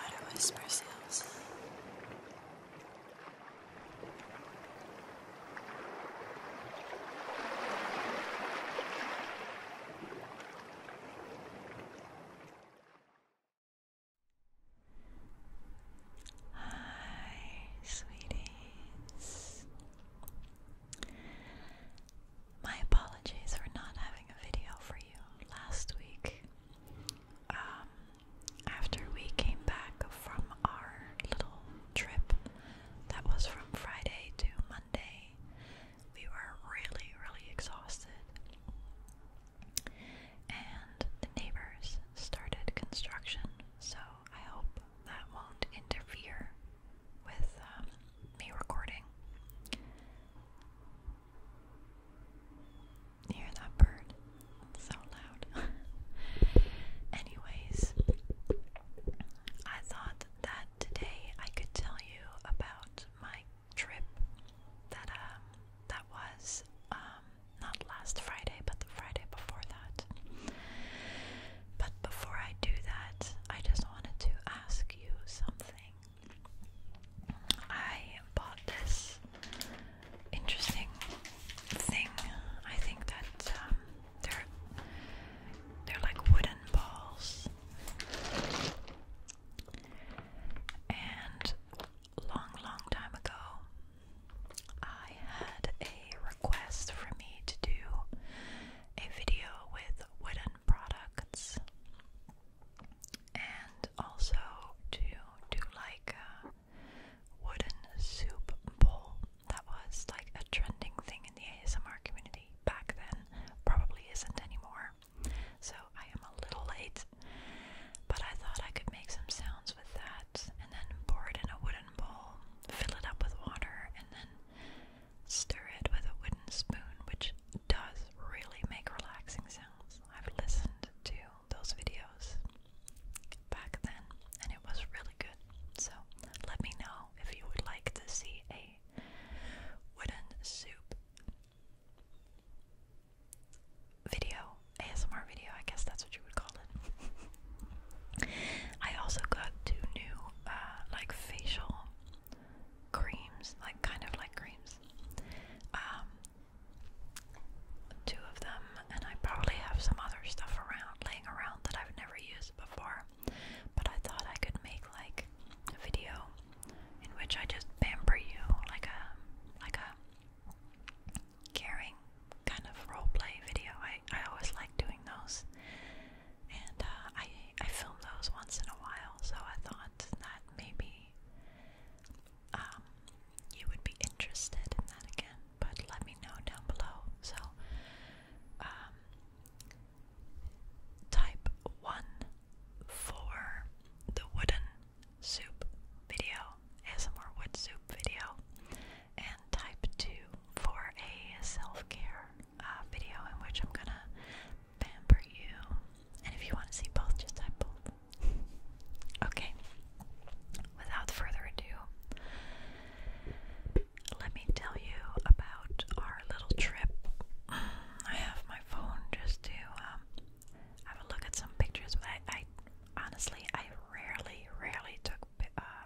Water whisper sounds. Hi, sweeties. My apologies for not having a video for you last week. Um, after we came back from our little trip that was from Friday to Monday, we were really, really exhausted. And the neighbors started construction, so I hope that won't interfere with um, me recording. hear that bird? so loud. Anyways, I thought that today I could tell you about my trip that um that was um not last Friday but the Friday before that. But before I do that, I just wanted to ask you something. I bought this interesting thing. I think that um, they're they're like wooden balls and long long time ago I had a request for me to do a video with wooden products and also to do like a wooden soup bowl that was like a trending thing in the ASMR community back then, probably isn't anymore. So I am a little late, but I thought I could make some sounds with that and then pour it in a wooden bowl, fill it up with water, and then Stir it with a wooden spoon, which does really make relaxing sounds. I've listened to those videos back then and it was really good. So let me know if you would like to see a wooden soup video, ASMR video, I guess that's what you would call it. I also got two new uh, like facial creams, like kind of like creams. Um, two of them, and I probably have some other stuff around, laying around that I've never used before. But I thought I could make like a video in which I just pamper you, like a like a caring kind of role play video. I I always like doing those and uh, I I film those once in a while, so I thought that maybe um, you would be interested in that again. But let me know down below. So, um, type one for the wooden soup video, as more wood soup video, and type two for a self care uh, video in which I'm gonna pamper you. And if you want to see both, just type both. Okay, without further ado, let me tell you about our little trip. I have my phone just to um, have a look at some pictures, but I, I honestly, I rarely, rarely took, uh,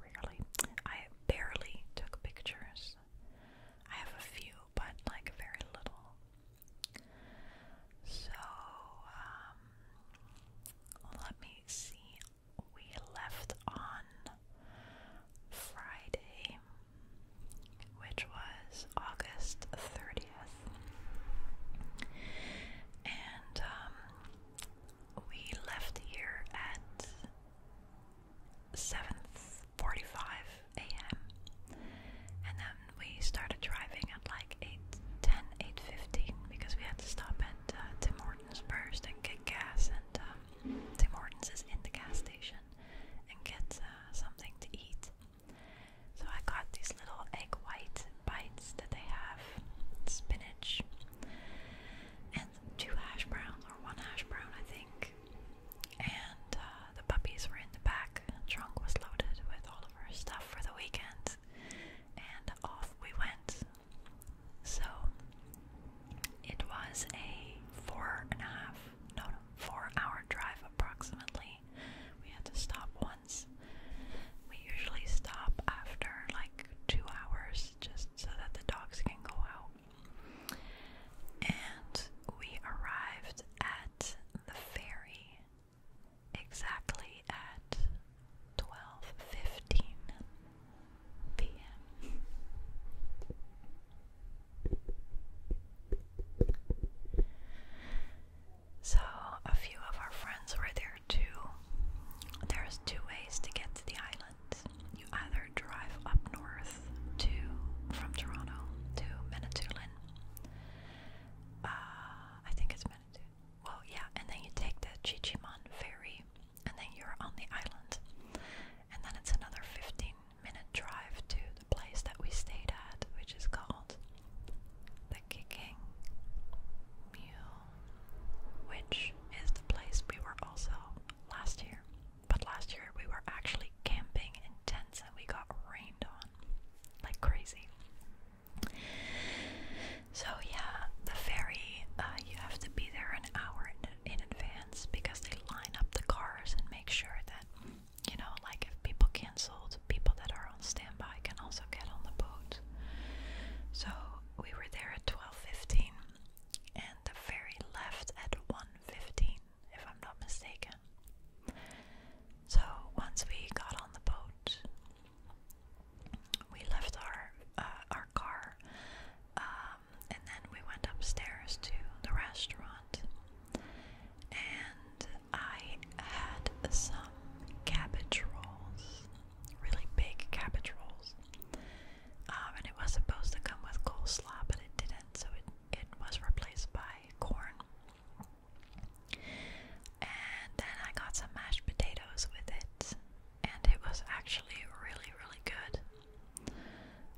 rarely, I barely took pictures. I have a few, but like very little. So, um, let me see. We left on Friday, which was August 30th, and um, we left here at 7th Forty-five a.m. And then we started driving at like 8, 10, 8.15 because we had to stop at uh, Tim Hortons first and get gas. And um, Tim Hortons is in the gas station and get uh, something to eat. So I got these little egg white bites that they have, spinach, and two hash browns or one hash brown I think, and uh, the puppies were in the back. The trunk was loaded with all of our stuff for the weekend, and off we went. So it was a four and a half, no four-hour drive approximately. We had to stop once. We usually stop after like two hours just so that the dogs can go out and we arrived at the ferry exactly at 12:15 p.m. So, a few of our friends were there too. There's two ways to get to the island you either drive up north to from Toronto to Manitoulin. Uh, I think it's Manitoulin. Well, yeah, and then you take the Chichiman ferry, and then you're on the island. And then it's another 15 minute drive to the place that we stayed at, which is called the Kicking Mule, which is the place we were also last year. But last year we were actually camping in tents and we got rained on like crazy. So, yeah, the ferry, uh, you have to be there an hour in, in advance because they line up the cars and make sure that, you know, like if people canceled, people that are on standby can also get on the boat. So, we were there at 12:15 and the ferry left at one fifteen, if I'm not mistaken. So once we got on the boat, we left our uh, our car, um, and then we went upstairs to the restaurant, and I had some cabbage rolls, really big cabbage rolls, um, and it was supposed to come with coleslaw, but it didn't, so it, it was replaced by corn. And then I got some mashed potatoes with it, and it was actually really, really good.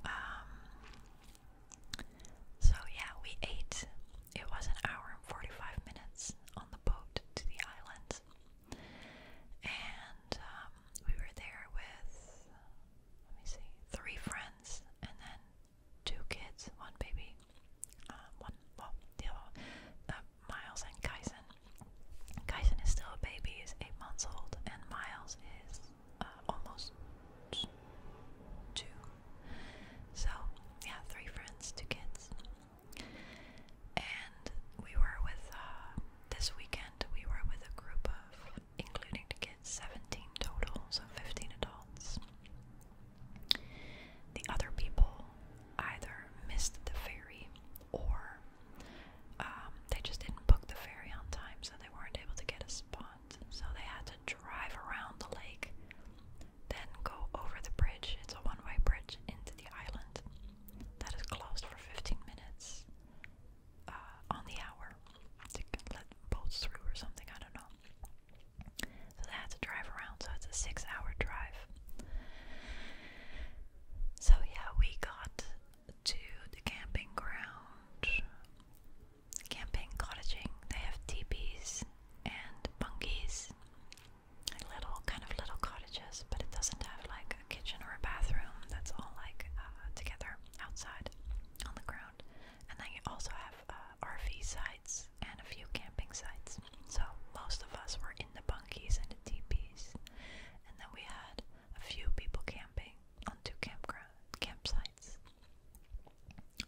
Um, so, yeah, we ate. It was an hour and 45 minutes on the boat to the island. And um, we were there with, let me see, three friends and then two kids, one baby, um, one, well, the uh, Miles and Kyson. Kyson is still a baby, is eight months old, and Miles is uh, almost two. So, yeah, three friends, two kids. And we were with, uh, this weekend, we were with a group of including the kids, 17 total, so 15 adults. The other people either missed the ferry or um, they just didn't book the ferry on time, so they weren't able to get a spot. So they had to drive around the lake, then go over the bridge. It's a one way bridge into the island that is closed for 15 minutes. Uh, on the hour to let boats through or something. I don't know. So they had to drive around. So it's a six-hour drive. So yeah, we got to the camping ground. Camping, cottaging. They have teepees and bunkies, little kind of little cottages house, but it doesn't have like a kitchen or a bathroom. That's all like uh, together outside on the ground. And then you also have uh, RV sites and a few camping sites. So most of us were in the bunkies and the teepees, and then we had a few people camping on two campground campsites.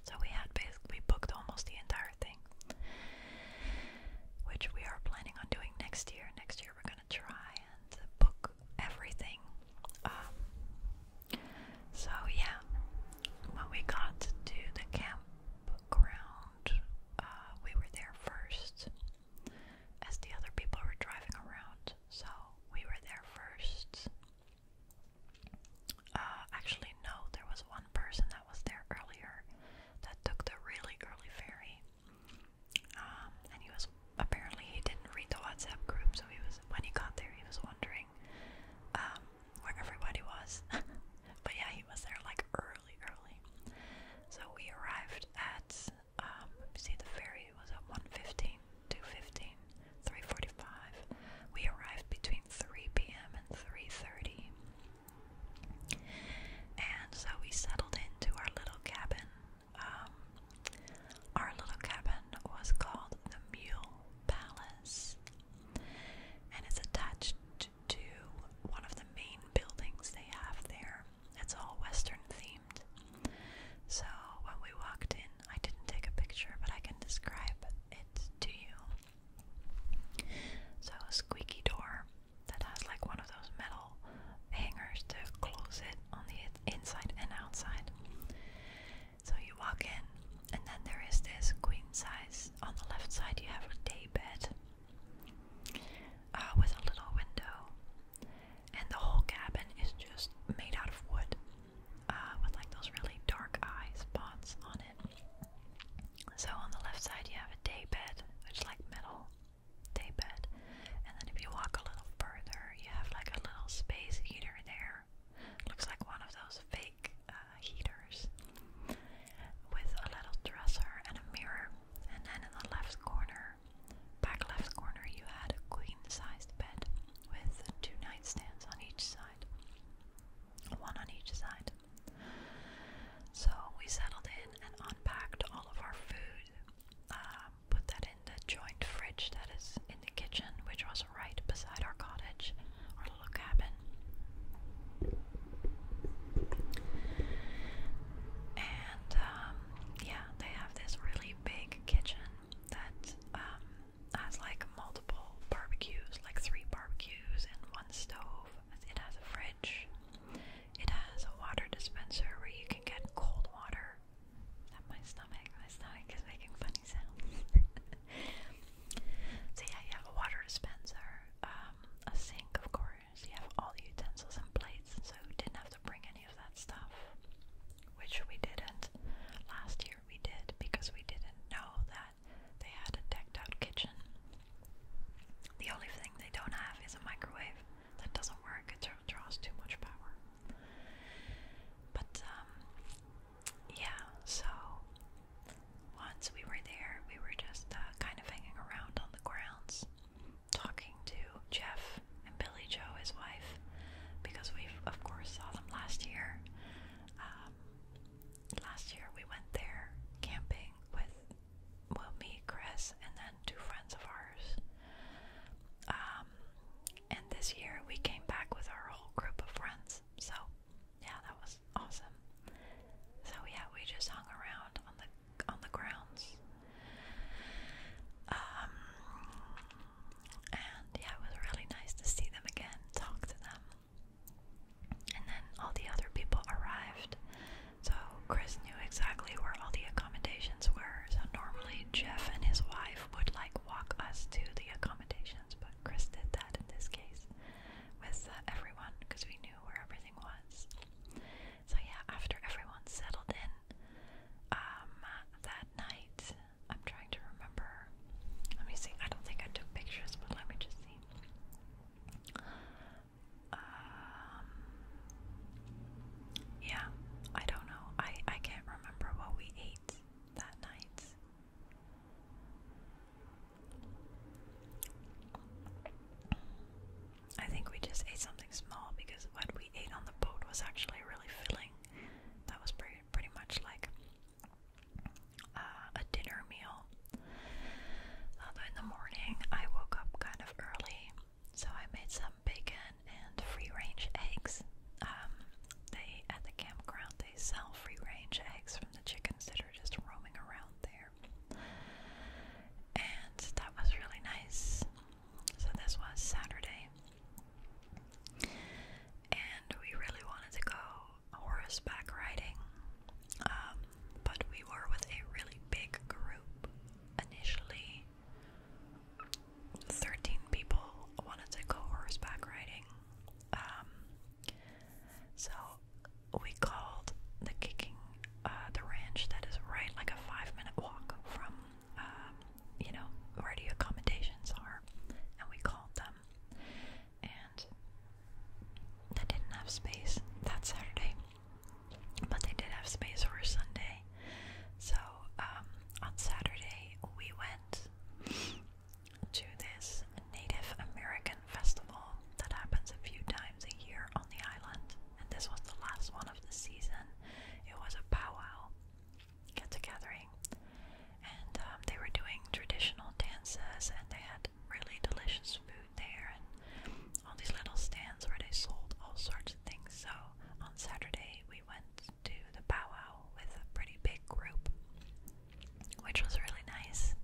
So we had basically booked almost the entire thing, which we are planning on doing next year. Next year we're gonna try and book everything. Um, so yeah, when we got to the campground, uh, we were there first, as the other people were driving around. So we were there first. Uh, actually, no, there was one person that was there earlier that took the really early ferry. Um, and he was apparently he didn't read the WhatsApp group, so he was when he got there he was wondering um, where everybody was. but yeah, he was there like early, early. So we arrived at um, see the ferry was at 1:15, 2:15, 3:45. We arrived between 3 p.m. and 3:30. And so we settled into our little cabin um, our little cabin was called the Mule Palace, and it's attached to one of the main buildings they have there. It's all Western themed. So when we walked in, I didn't take a picture, but I can describe it to you. So, a squeaky door that has like one of those metal hangers to close it on the inside and outside. So you walk in, and then there is this queen size. On the left side, you have a day bed uh, with a little window, and the whole cabin is just made out of wood uh, with like those really dark eye spots on it. So on the left side, you have a day bed, which is like metal day bed. And then if you walk a little further, you have like a little space heater there. Looks like one of those fake uh, heaters with a little dresser and a mirror. And then in the left corner, back left corner, you had a queen-sized bed with two nightstands on each side, one on each side. So we settled in and unpacked all of our food. Um, put that in the joint fridge that is in the kitchen, which was right beside our cottage, our little cabin. And um, yeah, they have this really big kitchen that um, has like multiple barbecues, like three barbecues and one stove. It has a fridge. It has a water dispenser where you can get cold water. my stomach, my stomach is making funny sounds. so yeah, you have a water dispenser, um, a sink, of course. You have all the utensils and plates, so didn't have to bring any of that stuff, which we didn't. Last year we did because we didn't know that they had a decked out kitchen. The only thing they don't have is a microwave. That doesn't work, it draws too much power. But, um, yeah, so once we were there, we were just uh, kind of hanging around on the grounds, talking to Jeff and Billy Joe, his wife, because we, of course, saw them last year. Um, last year we went there camping with well, me, Chris, and then two friends of ours. Um, and this year we came back with our whole group of friends. So, yeah, that was awesome. So yeah, we just hung around on the on the grounds. Um, and yeah, it was really nice to see them again, talk to them. And then all the other people arrived so Chris knew exactly where all the accommodations were. So normally Jeff and his wife would like walk us to the accommodations, but Chris did that in this case with uh, everyone because we knew where everything was. So yeah, after everyone settled in um that night, I'm trying to remember. Let me see. I don't think I took pictures, but let me just see. Um, yeah, I don't know. I, I can't remember what we ate that night. I think we just ate something small because what we ate on the boat was actually really filling. That was pretty, pretty much like uh, a dinner meal. Although in the morning I woke up kind of early so I made some bacon and free-range eggs. Um, they at the campground they sell free-range eggs from the chickens that are just roaming around there. And that was really nice. So this was Saturday. And we really wanted to go horseback riding. Um, but we were with a really big group initially 13 people wanted to go horseback riding. Um, so we called the kicking uh, the ranch that is right like a five minute walk from um, you know where the accommodations are, and we called them, and they didn't have space that Saturday. But they did have space for Sunday. So um, on Saturday, we went to this Native American festival that happens a few times a year on the island. And this was the last one of the season. It was a powwow get gathering. And um, they were doing traditional dances and they had really delicious food food there and all these little stands where they sold all sorts of things. So on Saturday, we went to the powwow with a pretty big group, which was really nice.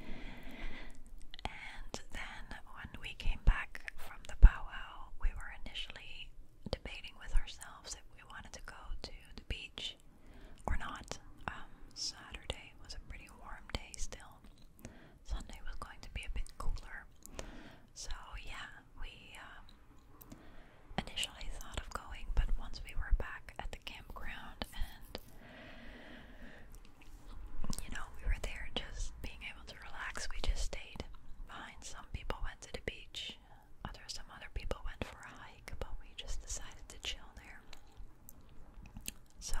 And then when we came back from the powwow, we were initially debating with ourselves if we wanted to go to the beach or not. Um, Saturday was a pretty warm day still. Sunday was going to be a bit cooler. So, yeah, we um, initially thought of going, but once we were back at the campground and you know, we were there just being able to relax, we just stayed Some people went to the beach, other some other people went for a hike, but we just decided to chill there. So,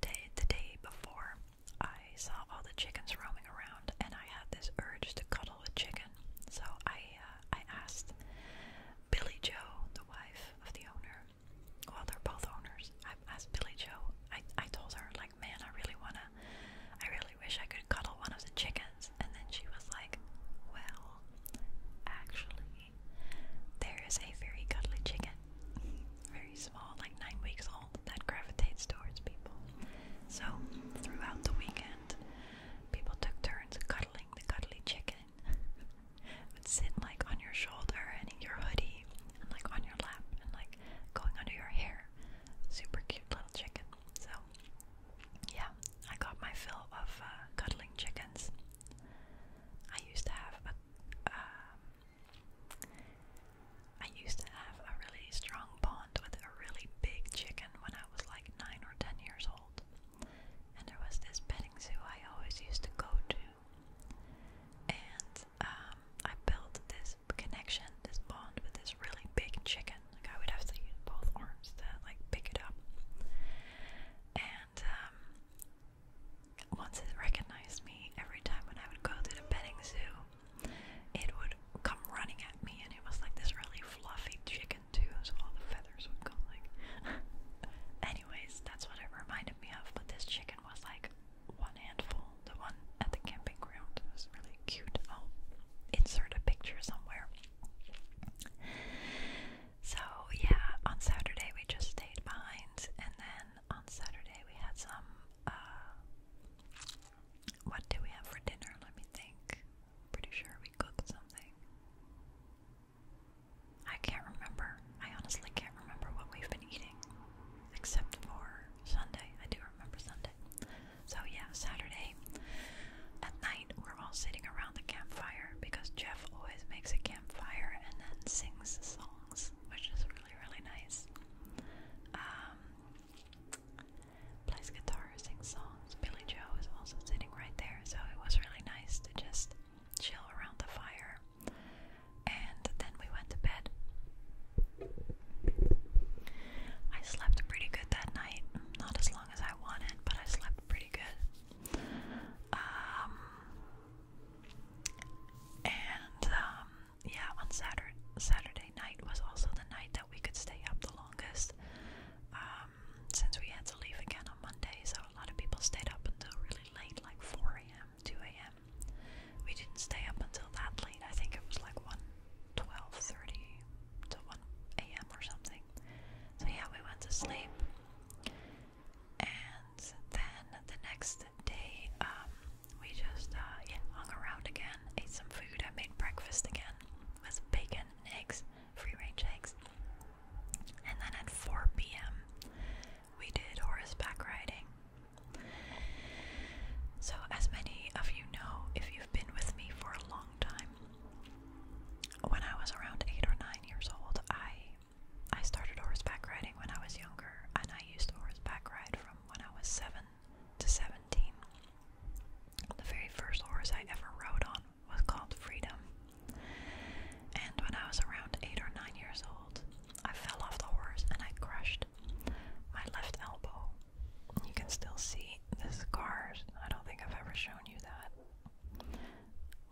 day the day before I saw all the chickens roaming around, and I had this urge to cuddle a chicken. So I uh, I asked Billy Joe, the wife of the owner. Well, they're both owners. I asked Billy Joe. I I told her like, man, I really wanna, I really wish I could cuddle one of the chickens. And then she was like, well, actually, there is a very cuddly chicken very small, like nine weeks old, that gravitates towards people. So, throughout the weekend, people took turns cuddling the cuddly chicken. would sit like on your shoulder and in your hoodie and like on your lap and like going under your hair. Super cute little chicken. So, yeah, I got my fill of uh, cuddling chickens. I used to have a um, I used to have a really strong bond with a really big chicken when I was like 9 or 10 years old. And there was this petting zoo I always used to go to. And um, I built this connection, this bond with this really big chicken. Like I would have to use both arms to like pick it up. And um, once it recognized me, every time when I would go to the petting zoo, it would come running at me, and it was like this really fluffy chicken too, so all the feathers would go like. Anyways, that's what it reminded me of. But this chicken was like one handful. The one at the camping ground it was really cute. I'll oh, insert a picture somewhere. So yeah, on Saturday we just stayed behind, and then on Saturday we had some uh, what did we have for dinner? Let me think. Pretty sure we cooked something. I can't remember. I honestly can't remember what we've been eating except for Sunday. I do remember Sunday. So yeah, Saturday at night we're all sitting around the campfire because Jeff always makes a campfire and then sings songs, which is really, really nice. Um, plays guitar, sings songs. Billy Joe is also sitting right there, so it was really nice to just chill around the fire. And then we went to bed. I slept pretty good that night. Not as long as I wanted, but I slept pretty good. Um, and um, yeah, on Saturday, night was also the night that we could stay up the longest um, since we had to leave again on Monday. So a lot of people stayed up until really late, like 4 a.m., 2 a.m. We didn't stay up until that late. I think it was like 1, 12, 30 to 1 a.m. or something. So yeah, we went to sleep. And then the next day, um, we just uh, hung around again, ate some food. I made breakfast again with bacon and eggs, free range eggs. And then at 4 p.m., we did horseback riding. So, as many of you know, if you've been with me for a long time, when I was around eight or nine years old, I I started horseback riding when I was younger, and I used to horseback ride from when I was 7 to 17. The very first horse I ever rode on was called Freedom. And when I was around 8 or 9 years old, I fell off the horse and I crushed my left elbow. You can still see the scars. I don't think I've ever shown you that.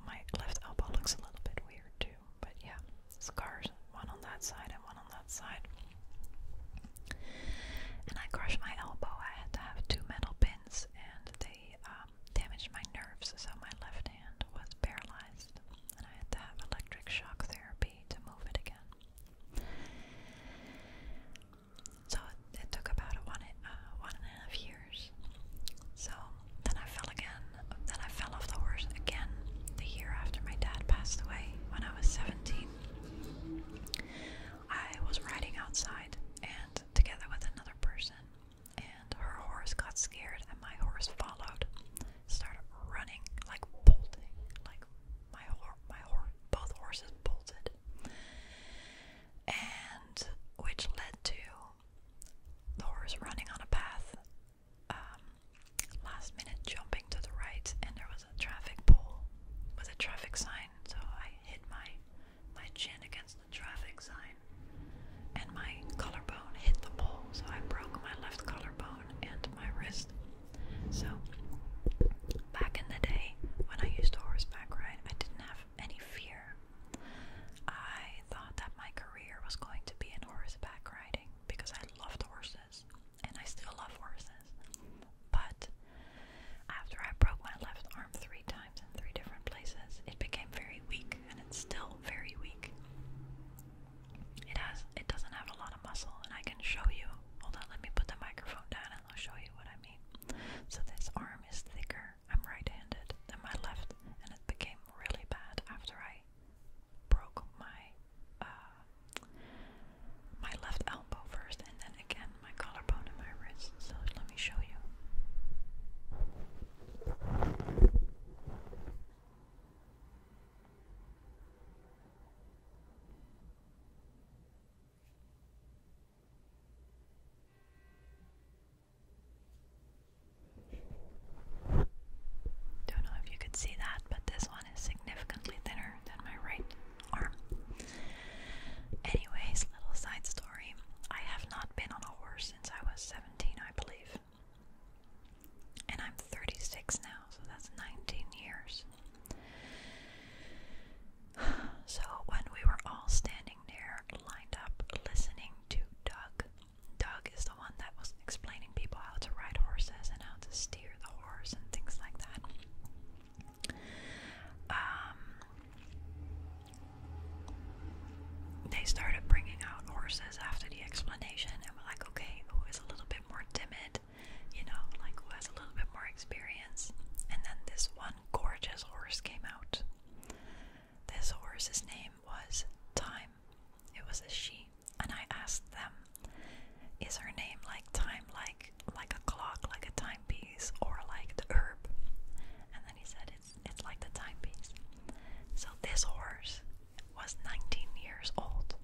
My left elbow looks a little bit weird too but yeah, scars one on that side and one on that side. And I crushed my elbow. I had to have two metal pins, and they um, damaged my nerves, so my left hand was paralyzed, and I had to have electric shock therapy to move it again. So it, took about a one, uh, one and a half years. So then I fell again. Then I fell off the horse again the year after my dad passed away when I was 17. I was riding outside and together with another person, and her horse got scared, and my horse followed, started running, like bolting, like my horse, my horse, both horses bolted, and which led to the horse running on a path um, last minute jumping to the right, and there was a traffic pole with a traffic sign. So I hit my my chin against the traffic sign, and my collarbone hit the pole. So I broke my left collarbone and my wrist. So back in the day when I used to horseback ride, I didn't have any fear. I thought that my career was going to be horseback riding because I loved horses and I still love horses. But after I broke my left arm three times in three different places, it became very weak and it's still very weak. It has it doesn't have a lot of muscle and I can show you. Hold on, let me put the microphone down and I'll show you what I mean. So this arm is thicker. I'm right-handed than my left and it became really bad after I broke my uh, my left elbow first, and then again my collarbone and my wrist. So let me show you. Don't know if you could see that, but this one is significantly thinner than my right arm. Anyways, little side story. I have not been on a horse since I was 17, I believe. And I'm 36 now, so that's 19 years. So when we were all standing there, lined up, listening to Doug Doug is the one that was explaining people how to ride horses and how to steer the horse and things like that. Um, they started bringing out horses after the explanation, and we're like, okay, who is a little bit more timid? You know, like who has a little bit more experience? And then this one gorgeous horse came out. This horse's name was Time it was a she, and I asked them, "Is her name like time, like like a clock, like a timepiece, or like the herb?" And then he said, "It's it's like the timepiece." So this horse was 19 years old.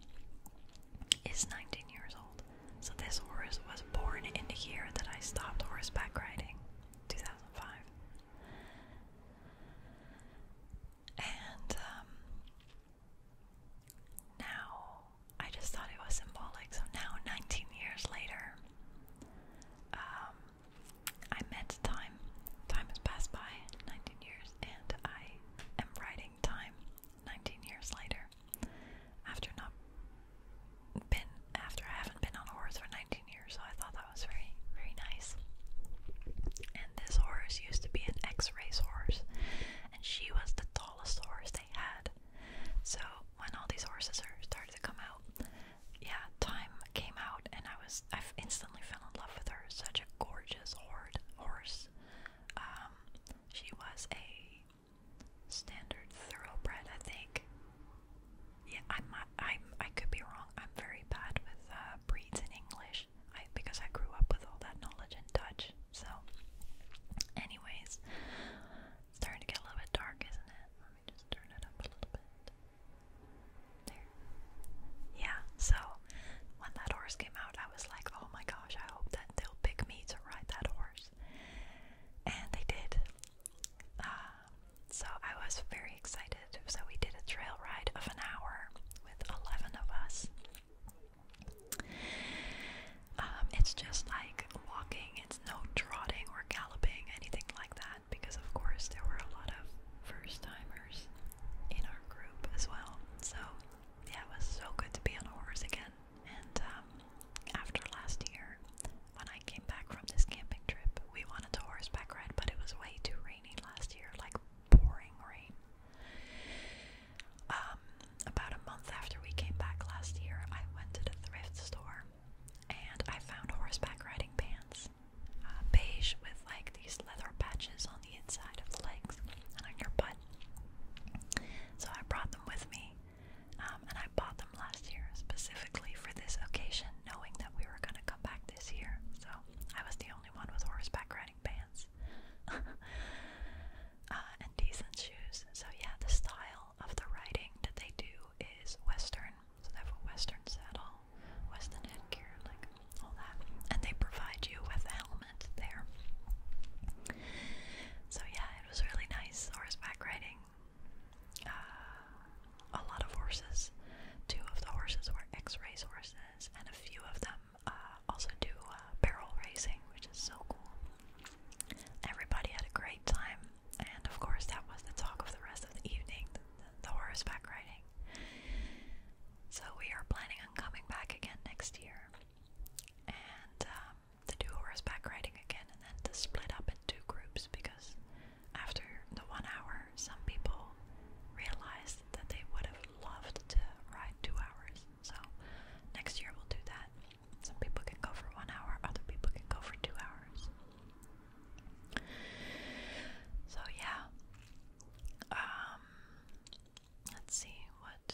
Is 19 years old. So this horse was born in the year that I stopped horseback riding, 2005. And um, now, I just thought it was symbolic. So now, 19 years later, um, I met time. Time has passed by 19 years, and I am writing time 19 years later. After not been after I haven't been on a for 19 so I thought that was very, very nice. And this horse used to be an x ray horse, and she was the tallest horse they had. So when all these horses are started to come out, yeah, time came out, and I was I instantly fell in love with her. Such a gorgeous horde horse. Um, she was a standard thoroughbred, I think. Yeah, I'm. not. I'm. I could be wrong. I'm very bad with uh, breeds in English. I because I grew up with all that knowledge in Dutch. So, anyways, it's starting to get a little bit dark, isn't it? Let me just turn it up a little bit. There. Yeah. So, when that horse came out, I was like, oh my gosh! I hope that they'll pick me to ride that horse. And they did. Um, so I was very excited. So we did a trail ride of an hour with 11 of us. Um, it's just like walking, it's no trotting or galloping, anything like that, because of course there were a lot of first timers in our group as well. So yeah, it was so good to be on a horse again. And um, after last year, when I came back from this camping trip, we wanted a horseback ride, but it was way too rainy raining last year, like pouring rain. Um, about a month after we came back last year, I went to the thrift store and I found horseback riding pants, uh, beige with like these leather patches on the inside of the legs and on your butt. So I brought them with me, um, and I bought them last year specifically for this occasion, knowing that we were going to come back this year, so I was the only one with horseback riding pants uh, and decent shoes. So, yeah, the style of the riding that they do is Western, so they have a Western saddle, Western headgear, like all that, and they provide you with a helmet there. So, yeah, it was really nice horseback riding. Uh, a lot of horses. Two of the horses were X-race horses, and a few of them uh, also do uh, barrel racing, which is so cool. Everybody had a great time, and of course that was the talk of the rest of the evening, the, the, the horseback riding. So we are planning on coming back again next year, and um, to do horseback riding again, and then to split up in two groups because after the one hour, some people realized that they would have loved to ride two hours. So next year we'll do that. Some people can go for one hour, other people can go for two hours. So yeah. Um, let's see what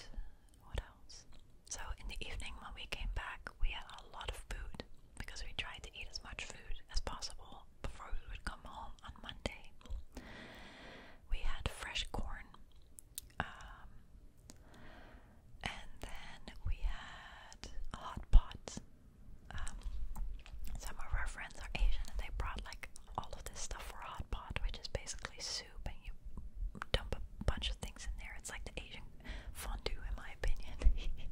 what else. So in the evening when we came back we had a lot of food because we tried to eat as much food as possible before we would come home on Monday. We had fresh corn, um, and then we had a hot pot. Um, some of our friends are Asian and they brought like all of this stuff for hot pot, which is basically soup, and you dump a bunch of things in there. It's like the Asian fondue, in my opinion.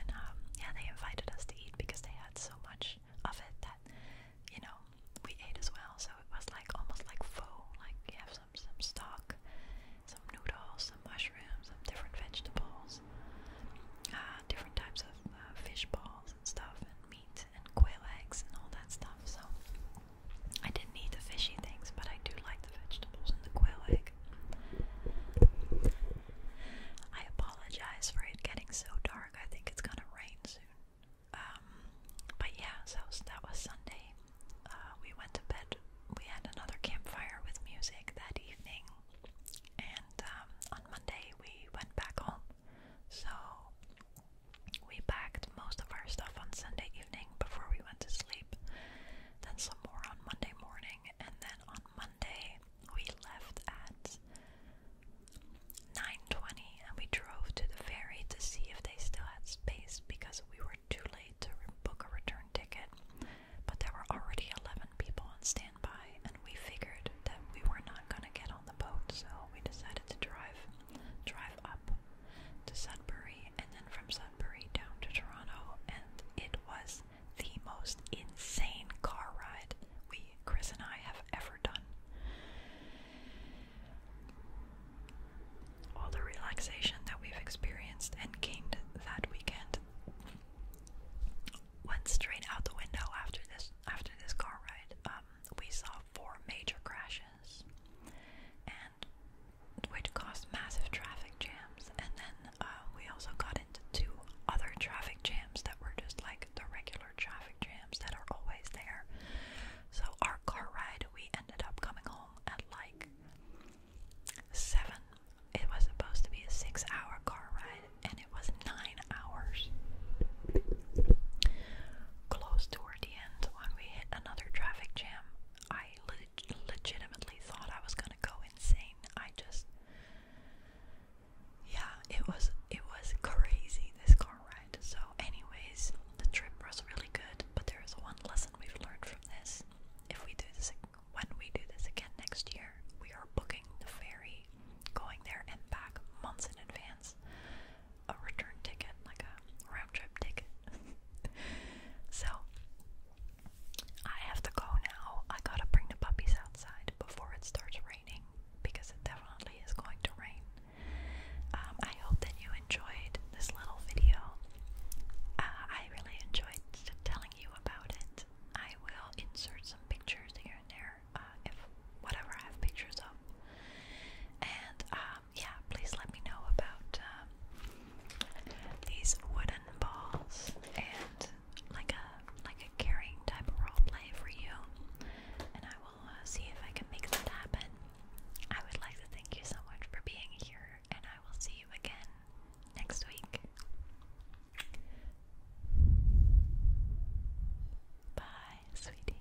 and um, yeah, they invited us to eat because they had so much of it that you know we ate as well. So it was like almost like faux. Like you have some some stock, some noodles, some mushrooms, some different vegetables, uh, different types of uh, fish balls and stuff, and meat and quail eggs and all that stuff. So I didn't eat the fishy things, but I do like the vegetables and the quail egg. I apologize for it getting so dark. I think it's gonna rain soon. Um, but yeah, so that was Sunday. Uh, we went to bed. We had another campfire with music that evening, and um, on Monday we went back home. So we packed most of our stuff on Sunday evening before we went to sleep. Then some more on Monday morning, and then on Monday, we left at 9:20 and we drove to the ferry to see if they still had space because we were too late to book a return ticket. But there were already 11 people on standby and we figured that we were not going to get on the boat, so we decided to drive drive up to Sudbury and then from Sudbury down to Toronto and it was the most insane car ride we, Chris and I, have ever done. All the relaxation that we've experienced and gained that weekend went straight out the window after this after this car ride. Um, we saw four major crashes, and which caused massive traffic jams, and then uh, we also got into two other traffic jams that were just like the regular traffic jams that are always there. So our car ride, we ended up coming home at like seven. It was supposed to be a six-hour car ride, and it was nine hours. Close toward the end, when we hit another traffic jam, I le legitimately thought I was gonna go insane. I just yeah, it was it was crazy this car ride. So, anyways, the trip was really good, but there is one lesson we've learned from this. If we do this when we do this again next year, we are booking the ferry, going there and back months in advance. A return ticket, like a round trip ticket. so I have to go now. I gotta bring the puppies outside before it starts raining because it definitely is going to rain. Um, I hope that you enjoyed this little video. Uh, I really enjoyed telling you about it. I will insert some pictures here and there, uh, if whatever I have pictures of. And um, yeah, please let me know about um, these wooden balls and like a like a caring type role play for you, and I will uh, see if I can make that happen. I would like to thank you so much for being here, and I will see you again next week. Bye, sweeties.